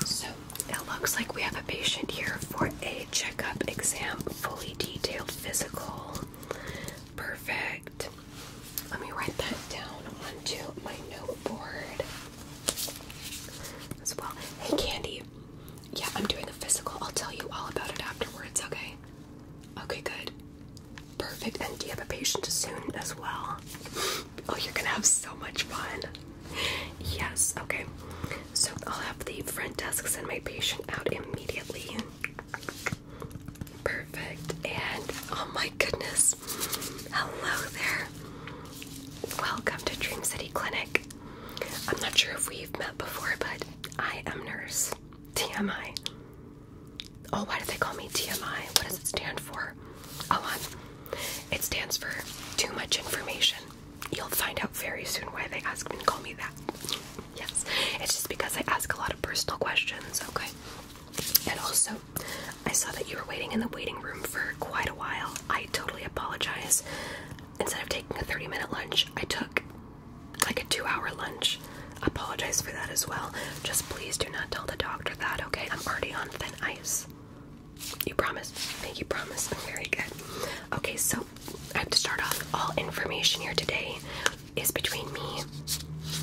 So it looks like we have a patient here for a checkup exam, fully detailed physical. Perfect. Let me write that down onto my noteboard as well. Hey, Candy. Yeah, I'm doing a physical. I'll tell you all about it afterwards, okay? Okay, good. Perfect. And do you have a patient soon as well? Oh, you're gonna have so much fun. Yes, okay. So I'll have the front desk send my patient out immediately. Perfect. And oh my goodness. Hello there. Welcome to Dream City Clinic. I'm not sure if we've met before, but I am nurse. TMI. Oh, why do they call me TMI? What does it stand for? Oh, on. It stands for too much information. You'll find out very soon why they ask me to call me that. Yes, it's just because I ask a lot of personal questions, okay? And also, I saw that you were waiting in the waiting room for quite a while. I totally apologize. Instead of taking a 30 minute lunch, I took like a two hour lunch. Apologize for that as well. Just please do not tell the doctor that, okay? I'm already on thin ice. You promise? Thank you, promise. Very good. Okay, so I have to start off. All information here today is between me,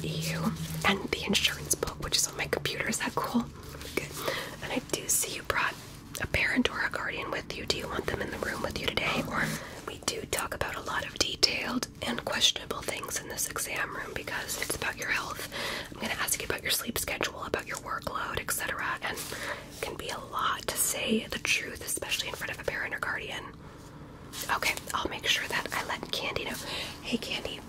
you, and the insurance book, which is on my computer. Is that cool? Good. And I do see you brought a parent guardian with you. Do you want them in the room with you today? Or we do talk about a lot of detailed and questionable things in this exam room because it's about your health. I'm going to ask you about your sleep schedule, about your workload, etc. And it can be a lot to say the truth, especially in front of a parent or guardian. Okay, I'll make sure that I let Candy know. Hey, Candy.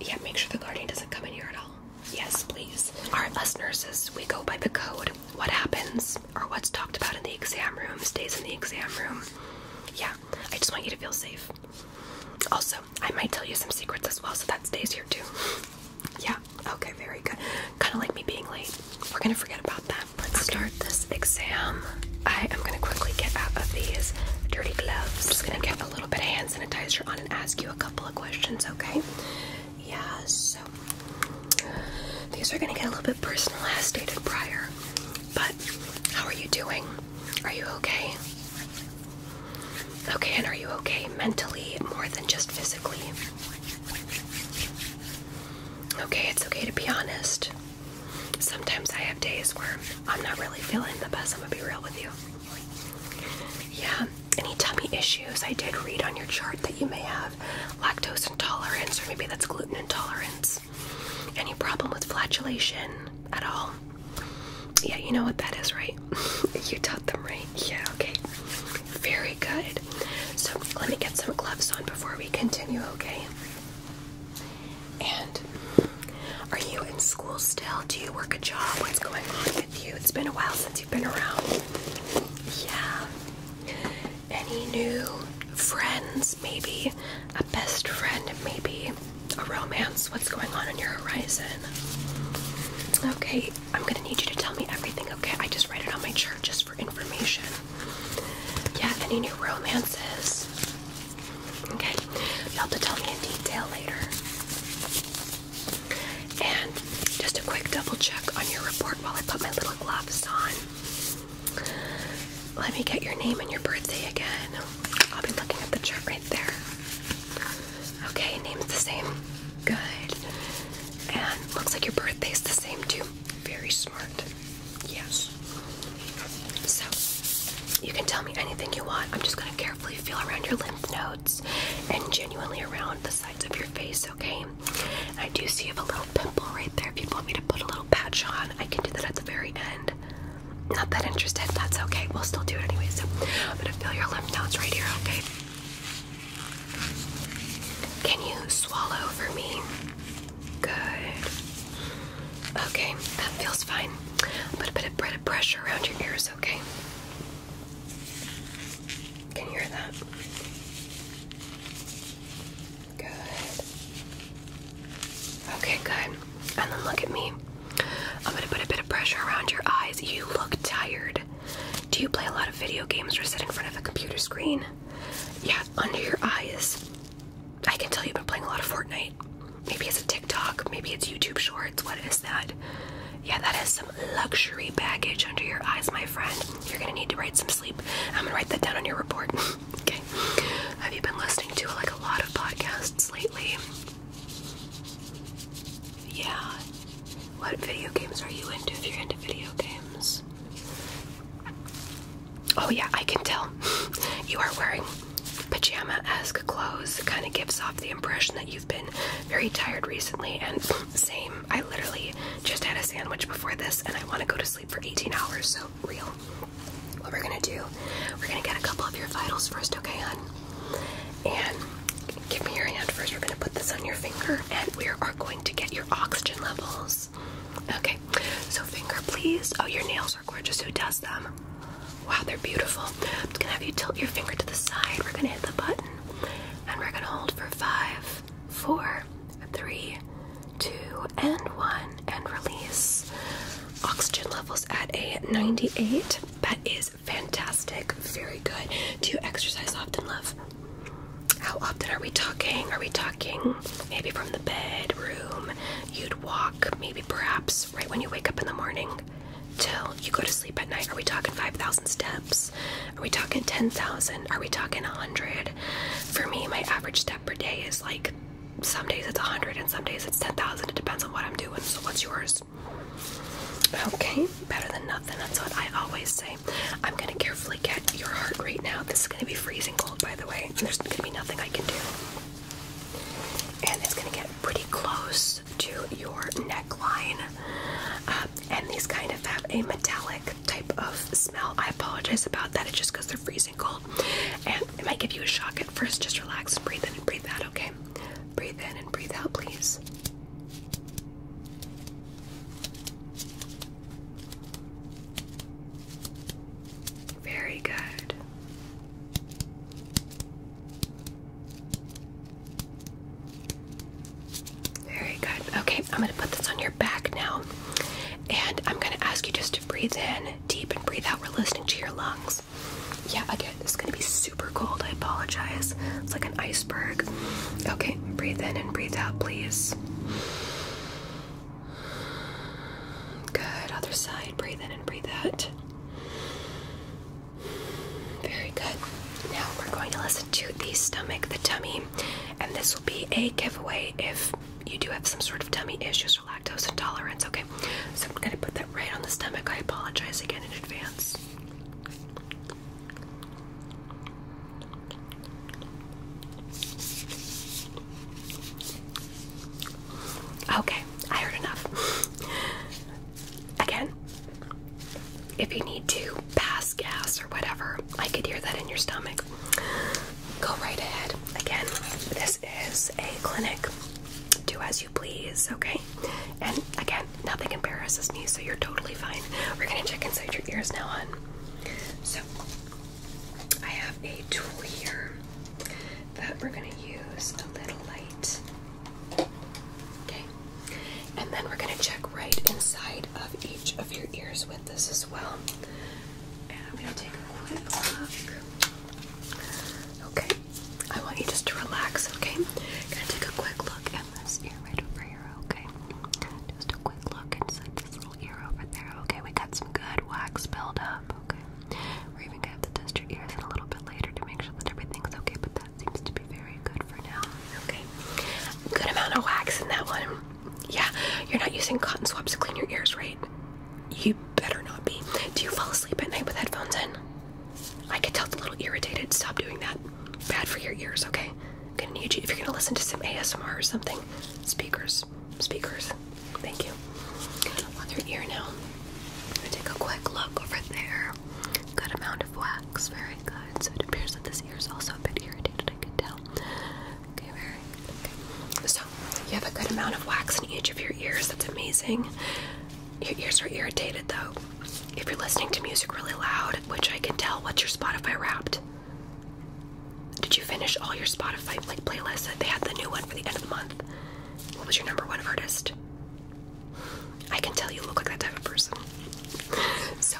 Yeah, make sure the guardian doesn't come in here at all. Yes, please. All right, us nurses, we go by the code. What happens or what's talked about in the exam room stays in the exam room. Yeah, I just want you to feel safe. Also, I might tell you some secrets as well, so that stays here too. yeah, okay, very good. Kind of like me being late. We're gonna forget about that. Let's start this exam. I am gonna quickly get out of these dirty gloves. I'm just gonna get a little bit of hand sanitizer on and ask you a couple of questions, okay? Yeah, so these are gonna get a little bit personal as stated prior. But how are you doing? Are you okay? Okay, and are you okay mentally more than just physically? Okay, it's okay to be honest. Sometimes I have days where I'm not really feeling the best. I'm gonna be real with you. Yeah, any tummy issues? I did read on your chart that you may have lactose intolerance, or maybe that's gluten intolerance. Any problem with flatulation at all? Yeah, you know what that is, right? you taught them, right? Yeah, okay. Very good. So let me get some gloves on before we continue, okay? And are you in school still? Do you work a job? What's going on with you? It's been a while since you've been around. Yeah. Any new friends, maybe? A best friend, maybe? a romance? What's going on on your horizon? Okay, I'm gonna need you to tell me everything, okay? I just write it on my chart just for information. Yeah, any new romances? Okay, you'll have to tell me in detail later. And just a quick double check on your report while I put my little gloves on. Let me get your name and your birthday again. I'll be looking at the chart right there. Okay, name's the same. Good. And looks like your birthday's the same too. Very smart. Yes. So, you can tell me anything you want. I'm just gonna carefully feel around your lymph nodes and genuinely around the sides of your face, okay? I do see you have a little pimple right there. If you would want me to put a little patch on, I can do that at the very end not that interested. That's okay. We'll still do it anyway. So I'm gonna feel your lymph nodes right here, okay? Can you swallow for me? Good. Okay, that feels fine. Put a bit of, bit of pressure around your ears, okay? Can you hear that? Good. Okay, good. And then look at me. I'm gonna put a bit of pressure around your eyes. You look tired. Do you play a lot of video games or sit in front of a computer screen? Yeah, under your eyes. I can tell you've been playing a lot of Fortnite. Maybe it's a TikTok, maybe it's YouTube Shorts. What is that? Yeah, that is some luxury baggage under your eyes, my friend. You're gonna need to write some sleep. I'm gonna write that down on your report. okay. Have you been listening to like a lot of podcasts lately? Yeah. What video games are you into if you're into video games? Oh, yeah, I can tell. you are wearing pajama esque clothes. It kind of gives off the impression that you've been very tired recently. And same, I literally just had a sandwich before this and I want to go to sleep for 18 hours, so real. What we're gonna do, we're gonna get a couple of your vitals first, okay, hun. And give me your hand first. We're going to put this on your finger and we are going to get your oxygen levels. Okay, so finger, please. Oh, your nails are gorgeous. Who does them? Wow, they're beautiful. I'm just going to have you tilt your finger to the side. We're going to hit the button and we're going to hold for five, four, three, two, and one, and release. Oxygen levels at a 98. That is fantastic. Very good. Do you exercise often, love? How often are we talking? Are we talking maybe from the bedroom? You'd walk, maybe perhaps right when you wake up in the morning till you go to sleep at night. Are we talking 5,000 steps? Are we talking 10,000? Are we talking 100? For me, my average step per day is like some days it's 100 and some days it's 10,000. It depends on what I'm doing. So, what's yours? Okay, better than nothing. That's what I always say. I'm gonna carefully get your heart rate now. This is gonna be freezing cold, by the way. There's gonna be nothing I can do. And it's gonna get pretty close to your neckline. Um, and these kind of have a metallic type of smell. I apologize about that. It just because they're freezing cold. And it might give you a shock first. Just relax and breathe in and breathe out, okay? Breathe in and breathe out, please. Very good. Very good. Okay, I'm going to put this on your back now. And I'm going to ask you just to breathe in deep and breathe out. We're listening to your lungs. Yeah, again, it's gonna be super cold. I apologize. It's like an iceberg. Okay, breathe in and breathe out, please. Good, other side. Breathe in and breathe out. Very good. Now we're going to listen to the stomach, the tummy, and this will be a giveaway if you do have some sort of tummy issues or lactose intolerance, okay? so I'm gonna put that right on the stomach. I apologize again in advance. Okay, I heard enough. Again, if you need to pass gas or whatever, I could hear that in your stomach. Go right ahead. Again, this is a clinic do as you please, okay? And again, nothing embarrasses me, so you're totally fine. We're gonna check inside your ears now on. So I have a tool here that we're gonna use a little light. Okay. And then we're gonna check right inside of each of your ears with this as well. And I'm gonna take a quick look. Okay, I want you just to relax, okay? Gonna take a quick look at this ear right over here, okay? Just a quick look inside this little ear over there, okay? We got some good wax buildup, okay? We're even gonna have to test your ears in a little bit later to make sure that everything's okay, but that seems to be very good for now, okay? Good amount of wax in that one. Yeah, you're not using cotton swabs to clean your ears, right? You better not be. Do you fall asleep at night with headphones in? I could tell it's a little irritated. Stop doing that. Bad for your ears, okay? gonna need you if you're gonna listen to some ASMR or something. Speakers. Speakers. Thank you. Other ear now. I'm gonna take a quick look over there. Good amount of wax. Very good. So it appears that this ear is also a bit irritated, I can tell. Okay, very so, you have a good amount of wax in each of your ears. That's amazing. Your ears are irritated though. If you're listening to music really loud, which I can tell, what's your Spotify wrapped? Did you finish all your Spotify like playlist? They had the new one for the end of the month. What was your number one artist? I can tell you look like that type of person. So,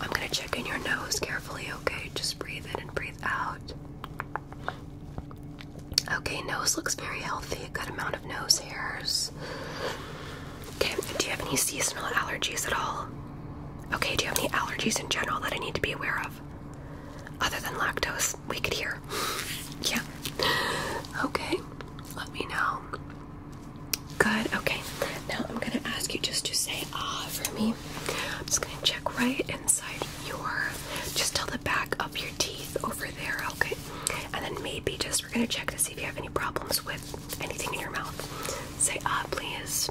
I'm gonna check in your nose carefully, okay? Just breathe in and breathe out. Okay, nose looks very healthy. A good amount of nose hairs. Okay, do you have any seasonal allergies at all? Okay, do you have any allergies in general that I need to be aware of? Other than lactose, we could hear. yeah. Okay, let me know. Good, okay. Now I'm gonna ask you just to say ah for me. I'm just gonna check right your just till the back of your teeth over there, okay? And then maybe just we're gonna check to see if you have any problems with anything in your mouth. Say ah, please.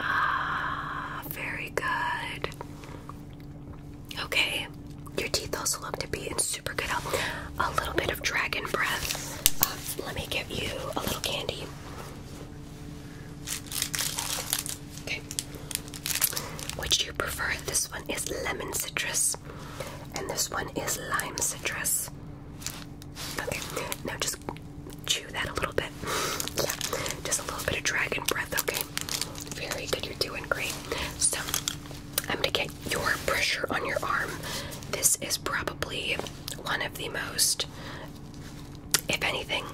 Ah, very good. Okay, your teeth also look to be in super good health. A little bit of dragon breath. Uh, let me give you a little candy. Which do you prefer? This one is lemon citrus, and this one is lime citrus. Okay, now just chew that a little bit. Yeah, just a little bit of dragon breath, okay? Very good, you're doing great. So, I'm gonna get your pressure on your arm. This is probably one of the most, if anything,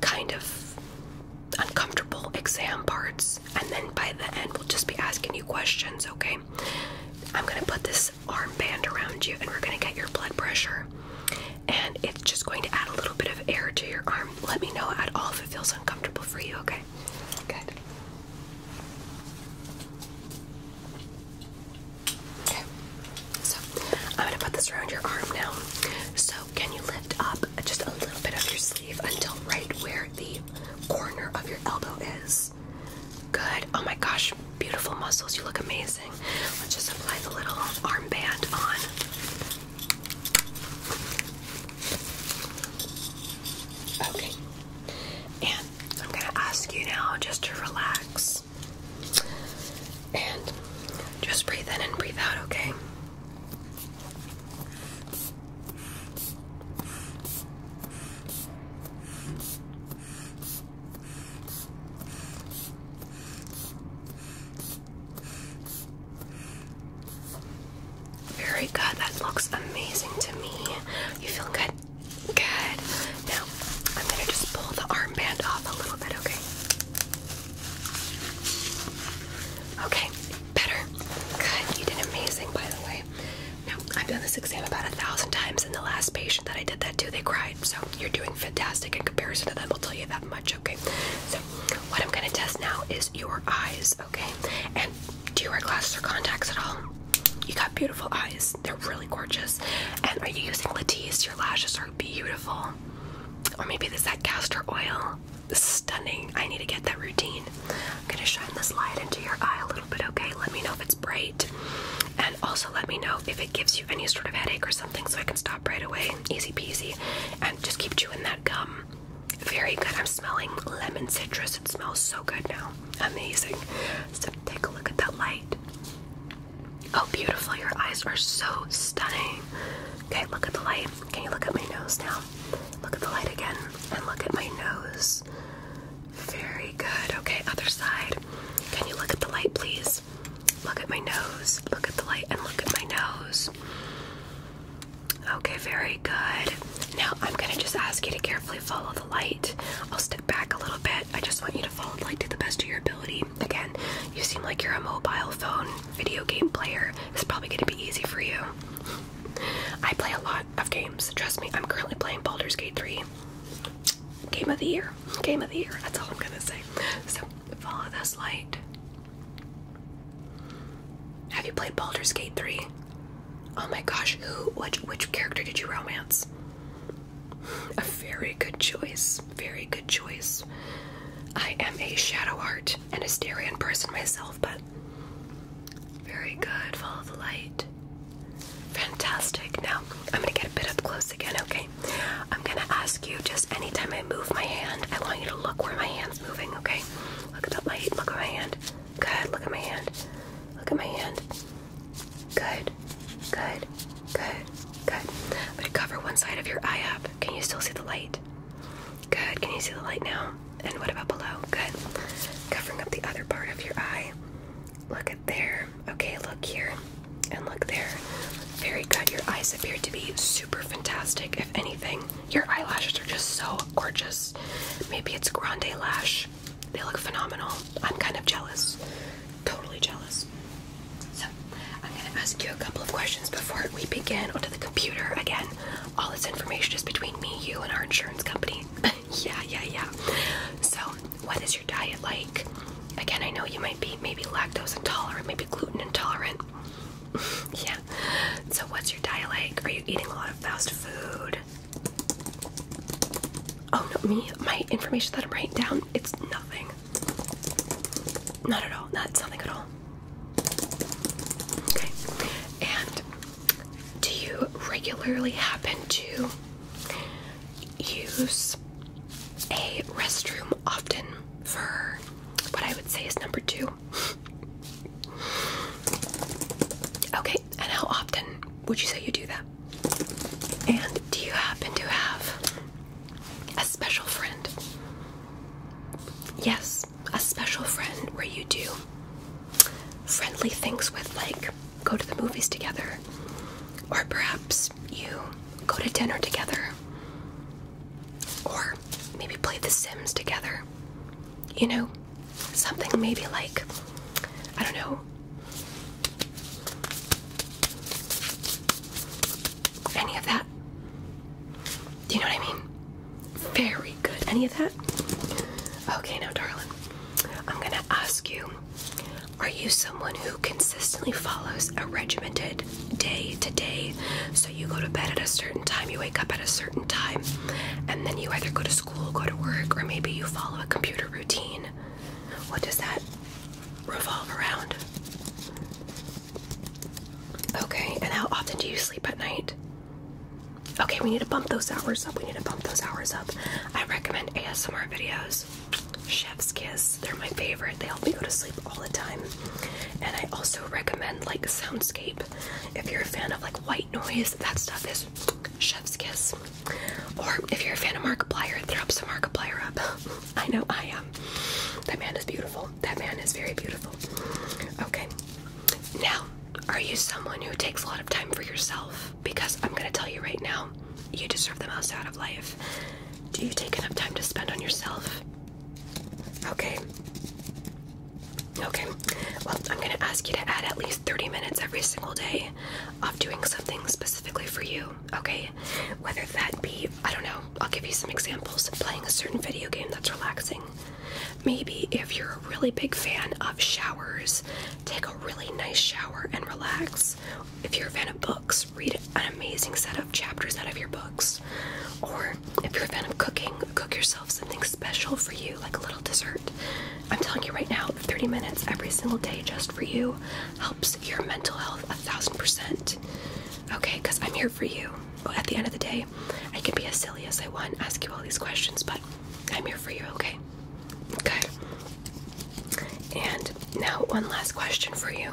kind of uncomfortable exam parts, and then by the end, we'll just be asking you questions, okay? I'm gonna put this arm band around you, and we're gonna get your blood pressure, and it's just going to add a little bit of air to your arm. Let me know at all if it feels uncomfortable for you, okay? Good. Okay. So I'm gonna put this around your arm now. So can you lift up just a little bit of your sleeve until right where the corner of your elbow is? Good. Oh my gosh, beautiful muscles. You look amazing. Let's just apply the little arm band on. Okay. And I'm gonna ask you now just to relax. And just breathe in and breathe out, okay? Very good. That looks amazing to me. You feel good? Good. Now, I'm going to just pull the armband off a little bit, okay? Okay, better. Good. You did amazing, by the way. Now, I've done this exam about a thousand times, and the last patient that I did that to, they cried. So you're doing fantastic in comparison to them. I'll tell you that much. Okay. So what I'm gonna test now is your eyes. Okay. And do you wear glasses or contacts at all? You got beautiful eyes. They're really gorgeous. And are you using Latisse? Your lashes are beautiful. Or maybe this that castor oil. Stunning. I need to get that routine. I'm gonna shine this light into your eye a little bit, okay? Let me know if it's bright. And also let me know if it gives you any sort of headache or something so I can stop right away. Easy peasy. And just keep chewing that gum. Very good. I'm smelling lemon citrus. It smells so good now. Amazing. So take a look at that light. Oh, beautiful. Your eyes are so stunning. Okay, look at the light. Can you look at my nose now? Look at the light again and look at my nose. Very good. Okay, other side. Can you look at the light, please? Look at my nose. Look at the light and look at my nose. Okay, very good. Now I'm going to just ask you to carefully follow the light. I'll step back a little bit. I just want you to follow the light to the best of your ability. Again, you seem like you're a mobile phone video game player. It's probably going to be easy for you. I play a lot of games. Trust me, I'm currently playing Baldur's Gate 3. Game of the year. Game of the year. That's all I'm going to say. So, follow this light. Have you played Baldur's Gate 3? Oh my gosh, who which which character did you romance? A very good choice. Very good choice. I am a shadow art and Asterian person myself, but very good. Follow the light. Fantastic. Now, I'm going to get a bit up close again, okay? I'm going to ask you just anytime I move my hand, I want you to look where my hand's moving, okay? Look at the light. Look at my hand. Good. Look at my hand. Look at my hand. Good. Good. Good, good. I'm gonna cover one side of your eye up. Can you still see the light? Good. Can you see the light now? And what about below? Good. Covering up the other part of your eye. Look at there. Okay, look here. And look there. Very good. Your eyes appear to be super fantastic. If anything, your eyelashes are just so gorgeous. Maybe it's grande lash. They look phenomenal. I'm kind of jealous. Totally jealous. So, I'm going to ask you a couple of questions before we begin onto the computer. Again, all this information is between me, you, and our insurance company. yeah, yeah, yeah. So, what is your diet like? Again, I know you might be maybe lactose intolerant, maybe gluten intolerant. yeah. So, what's your diet like? Are you eating a lot of fast food? Oh, no, me, my information that I'm writing down, it's nothing. Not at all. Not something at all. Okay. And do you regularly happen to use a restroom often for what I would say is number two? Okay. And how often would you say you do that? And do you happen to have a special friend? Yes, a special friend where you do friendly things with, like go to the movies together, or perhaps you go to dinner together, or maybe play The Sims together. You know, something maybe like, I don't know, any of that? Do you know what I mean? Very good. Any of that? Okay, now, darling, I'm gonna ask you Are you someone who consistently follows a regimented day to day? So you go to bed at a certain time, you wake up at a certain time, and then you either go to school, go to work, or maybe you follow a computer routine. What does that revolve around. Okay, and how often do you sleep at night? Okay, we need to bump those hours up. We need to bump those hours up. I recommend ASMR videos. Chef's Kiss, they're my favorite. They help me go to sleep all the time. And I also recommend like Soundscape. If you're a fan of like white noise, that stuff is Chef's Kiss. Or if you're a fan of Markiplier, throw up some Markiplier up. I know I am. That man is beautiful. That man is very beautiful. Okay. Now, are you someone who takes a lot of time for yourself? Because I'm going to tell you right now, you deserve the most out of life. Do you take enough time to spend on yourself? Okay. Okay. Well, I'm going to ask you to add at least 30 minutes every single day of doing something specifically for you okay? Whether that be, I don't know, I'll give you some examples playing a certain video game that's relaxing. Maybe if you're a really big fan of showers, take a really nice shower and relax. If you're a fan of books, read an amazing set of chapters out of your books. Or if you're a fan of cooking, cook yourself something special for you, like a little dessert. I'm telling you right now, 30 minutes every single day just for you helps your mental health a thousand percent. Okay, because I'm here for you. at the end of the day, I can be as silly as I want, ask you all these questions, but I'm here for you, okay? Okay. And now, one last question for you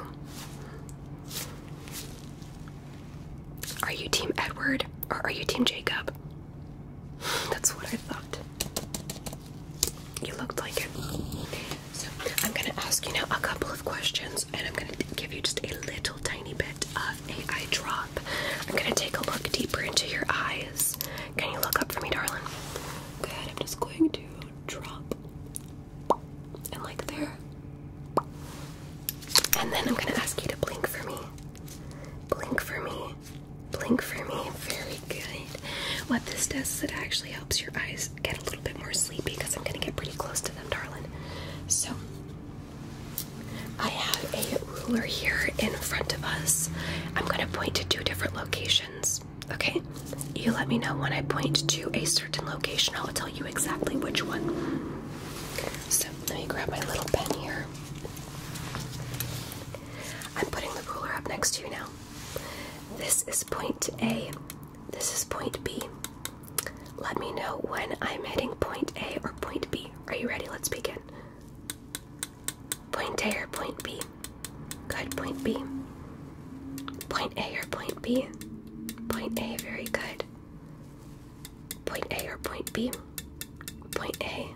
Are you Team Edward or are you Team Jacob? That's what I thought. You looked like it. So I'm gonna ask you now a couple of questions, and I'm gonna give you just a little tiny bit of a eye drop. I'm gonna take a look deeper into your eyes. Can you look up for me, darling? Good. I'm just going to drop and like there. And then I'm gonna ask you to blink for me. Blink for me blink for me. Very good. What this does is it actually helps your eyes get a little bit more sleepy because I'm going to get pretty close to them, darling. So, I have a ruler here in front of us. I'm going to point to two different locations. Okay? You let me know when I point to a certain location, I'll tell you exactly which one. So, let me grab my little pen here. I'm putting the ruler up next to you now. This is point A. This is point B. Let me know when I'm hitting point A or point B. Are you ready? Let's begin. Point A or point B? Good, point B. Point A or point B? Point A, very good. Point A or point B? Point A.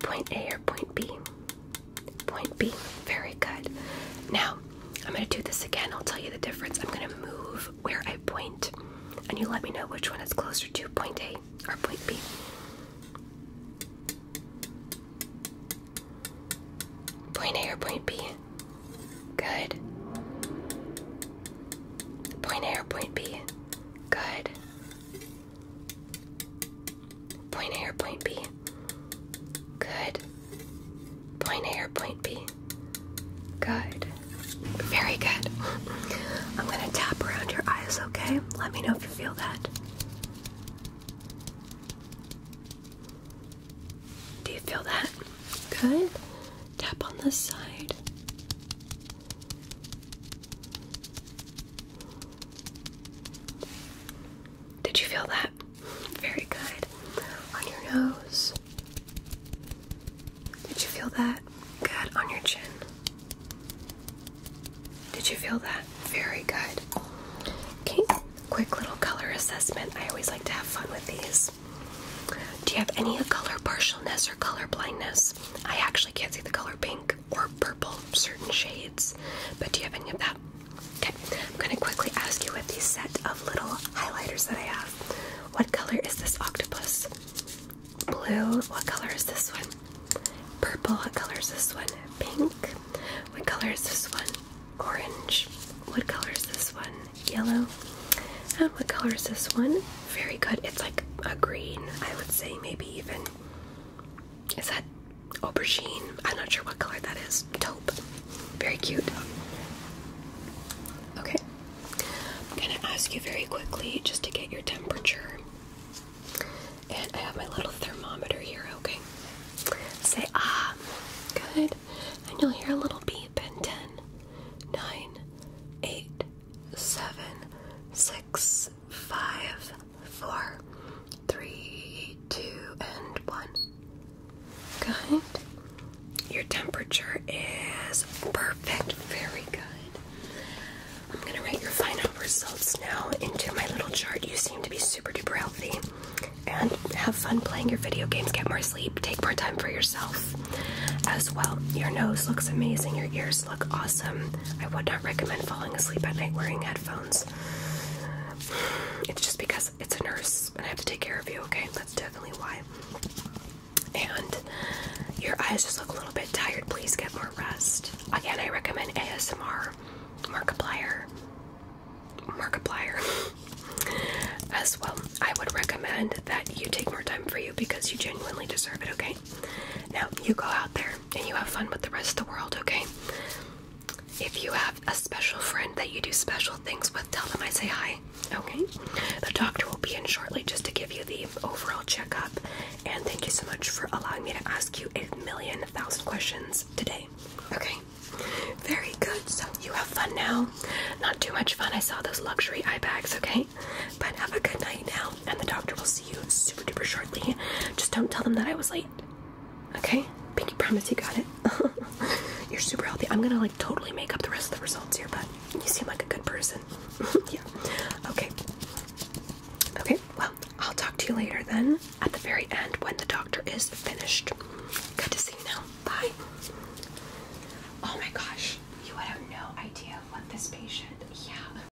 Point A or point B? Point B. Very good. Now, I'm going to do this again. I'll tell you the difference. I'm going to move where I point, and you let me know which one is closer to point A or point B. Point A or point B? Good. Point A or point B? Good. Point A or point B? Good. Point A or point B? Good. Very good. I'm going to tap around your eyes, okay? Let me know if you feel that. Do you feel that? Good. Tap on this side. Did you feel that? Very good. On your nose. Did you feel that? Good. On your chin. Did you feel that? Very good. Okay, quick little color assessment. I always like to have fun with these. Do you have any color partialness or color blindness? I actually can't see the color pink or purple, certain shades. But do you have any of that? Okay, I'm gonna quickly ask you with these set of little highlighters that I have. What color is this octopus? Blue. What color is this one? Purple. What color is this one? Pink. What color is this one? Orange. What color is this one? Yellow. And what color is this one? Very good. It's like a green, I would say, maybe even. Is that aubergine. I'm not sure what color that is. Taupe. Very cute. Okay. I'm gonna ask you very quickly just to get your temperature. And I have my little thermometer here, okay? Say ah. Good. And you'll hear a little beep in ten, nine, eight, seven, six five, four, three, two, and one. Good. Your temperature is perfect. Very good. I'm going to write your final results now into my little chart. You seem to be super duper healthy. And have fun playing your video games. Get more sleep. Take more time for yourself as well. Your nose looks amazing. Your ears look awesome. I would not recommend falling asleep at night wearing headphones. It's just because it's a nurse and I have to take care of you, okay? That's definitely why. And your eyes just look a little bit tired. Please get more rest. Again, I recommend ASMR, Markiplier, Markiplier as well. I would recommend that you take more time for you because you genuinely deserve it, okay? Now you go out there and you have fun with the rest of the world, okay? If you have a special friend that you do special things with, tell them I say hi. Okay? The doctor will be in shortly just to give you the overall checkup. And thank you so much for allowing me to ask you a million thousand questions today. Okay? Very good. So you have fun now. Not too much fun. I saw those luxury eye bags, okay? But have a good night now, and the doctor will see you super duper shortly. Just don't tell them that I was late. Okay? Pinky promise you got it. You're super healthy. I'm gonna like totally make up the rest of the results here, but you seem like a good person. yeah. Okay. Okay, well, I'll talk to you later then at the very end when the doctor is finished. Good to see you now. Bye. Oh my gosh, you have no idea what this patient, yeah.